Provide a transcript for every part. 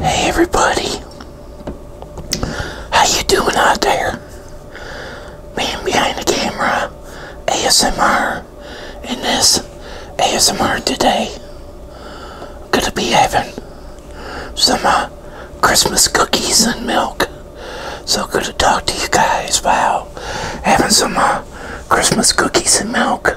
Hey everybody, how you doing out there? Man behind the camera, ASMR, and this ASMR today, gonna be having some uh, Christmas cookies and milk. So good to talk to you guys about having some uh, Christmas cookies and milk.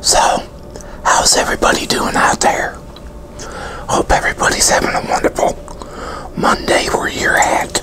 So, how's everybody doing out there? Hope everybody's having a wonderful Monday where you're at.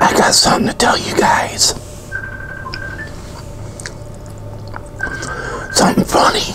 I got something to tell you guys. Something funny.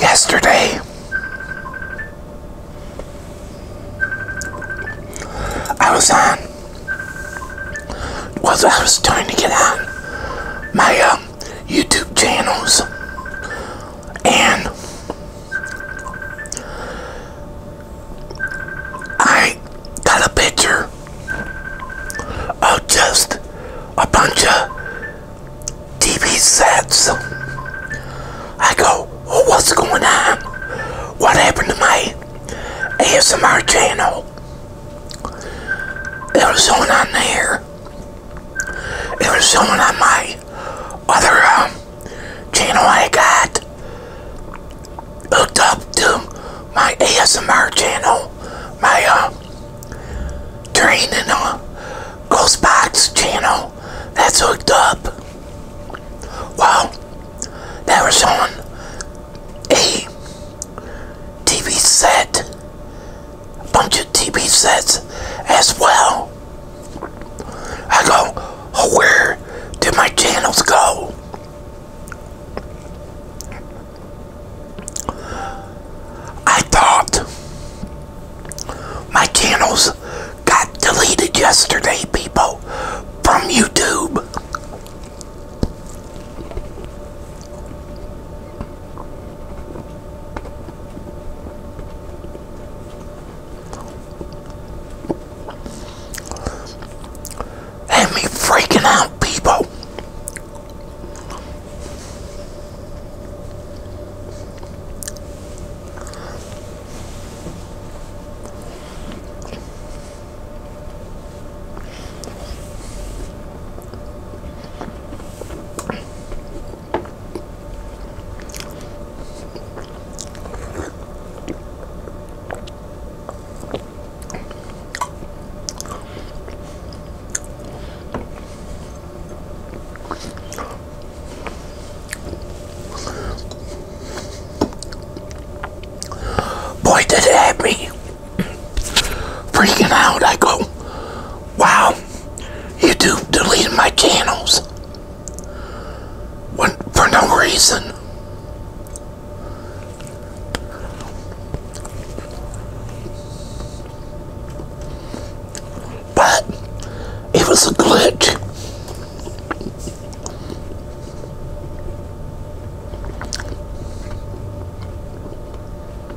Yesterday, I was on, was I was trying to get on my um, YouTube channels and I got a picture of just a bunch of TV sets. I go, what's going on? What happened to my ASMR channel? It was on on there. It was someone on my other um, channel I got hooked up to my ASMR channel, my uh, training on uh, ghost box channel that's hooked up. Wow, that was on a TV set, bunch of TV sets as well. I go, oh, where did my channels go? I thought my channels got deleted yesterday, people, from YouTube. Had me freaking out, people. Boy, did it have me freaking out. I go, wow, YouTube deleted my channels when, for no reason. But it was a glitch.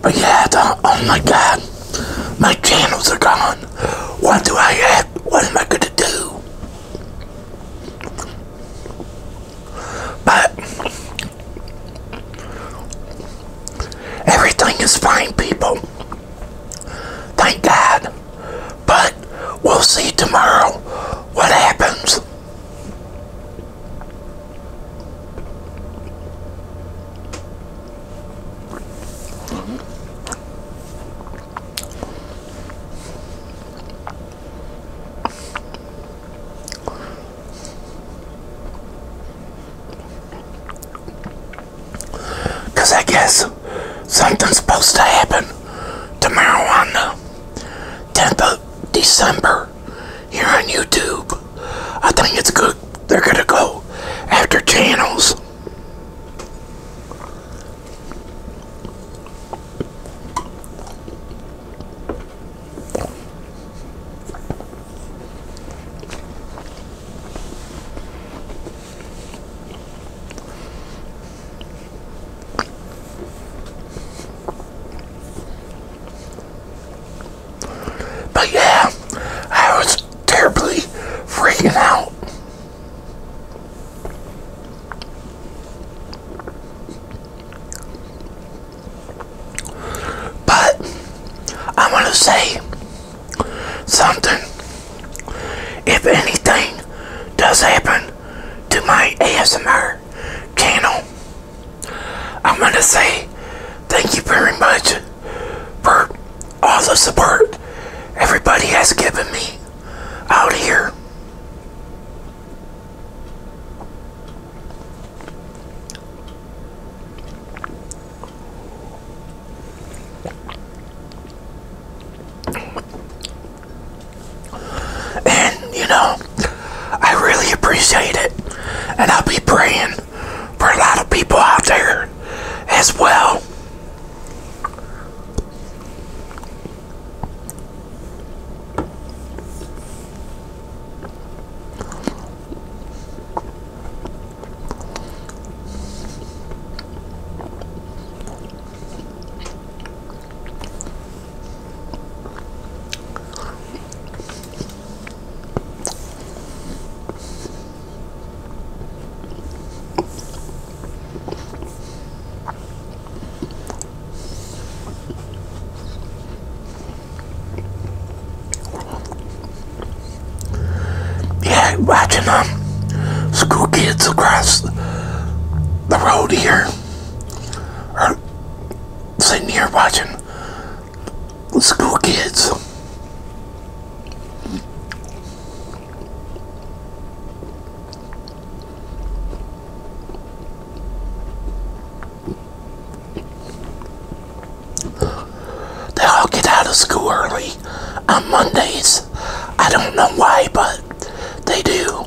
But yeah, oh my god, my channels are gone. What do I have? What am I going to do? But everything is fine, people. Thank God. But we'll see tomorrow what happens. Because I guess something's supposed to happen tomorrow on the 10th of December. War here on YouTube. I think it's good. They're going to go after channels. But yeah, I was terribly freaking out. But I want to say something. If anything does happen to my ASMR channel, I want to say thank you very much for all the support everybody has given me out here. And, you know, I really appreciate it. And I'll be praying for a lot of people out there as well. Yeah, watching them um, school kids across the road here are sitting here watching school kids. They all get out of school early on Mondays. I don't know why, but they do.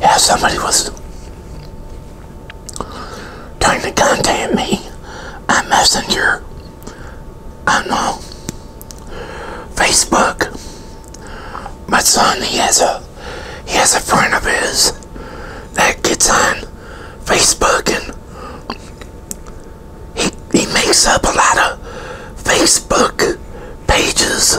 Yeah, somebody was trying to contact me on Messenger, I'm on uh, Facebook my son, he has a he has a friend of his that gets on Facebook and he he makes up a lot of Facebook pages.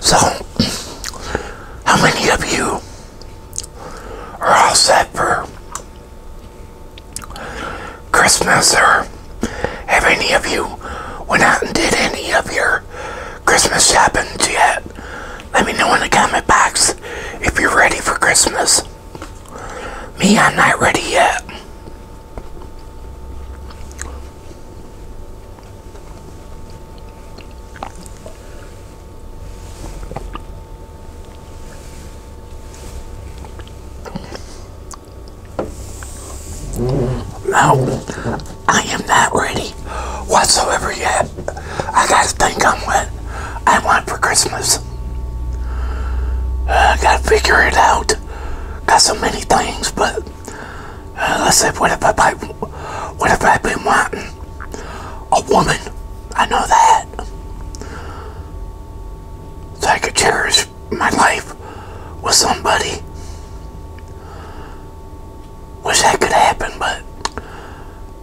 So, how many of you are all set for Christmas or have any of you went out and did any of your Christmas shopping yet? Let me know in the comment box if you're ready for Christmas. Me, I'm not ready yet. Now, I am not ready whatsoever yet. I gotta think I'm what I want for Christmas. I gotta figure it out. Got so many things, but uh, let's say, what if I, I what if I've been wanting a woman? I know that. So I could cherish my life with somebody. Wish that could happen, but uh,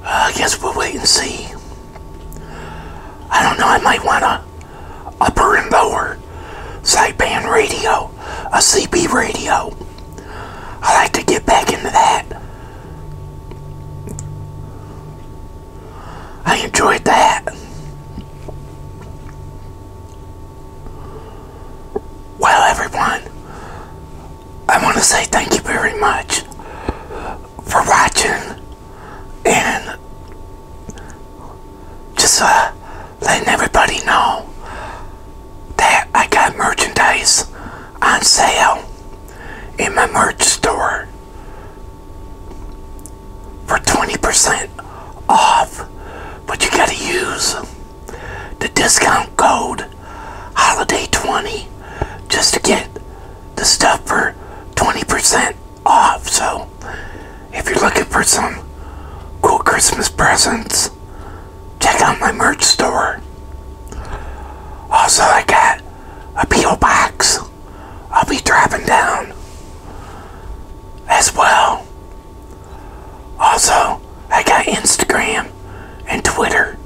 I guess we'll wait and see. I don't know, I might want a upper and lower sideband radio, a CB radio. I like to get back into that. I enjoyed that. Well, everyone, I want to say thank you very much for watching and just uh, letting everybody know that I got merchandise on sale in my merch store for 20% off, but you gotta use the discount code HOLIDAY20 just to get the stuff for 20% off. So if you're looking for some cool Christmas presents, check out my merch store. Also, I got a peel box I'll be dropping down as well. Also, I got Instagram and Twitter.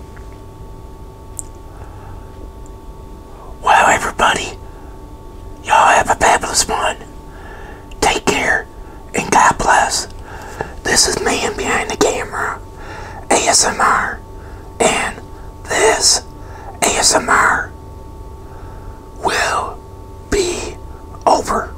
Well, everybody, y'all have a fabulous one. Take care and God bless. This is man behind the camera, ASMR, and this ASMR will be over.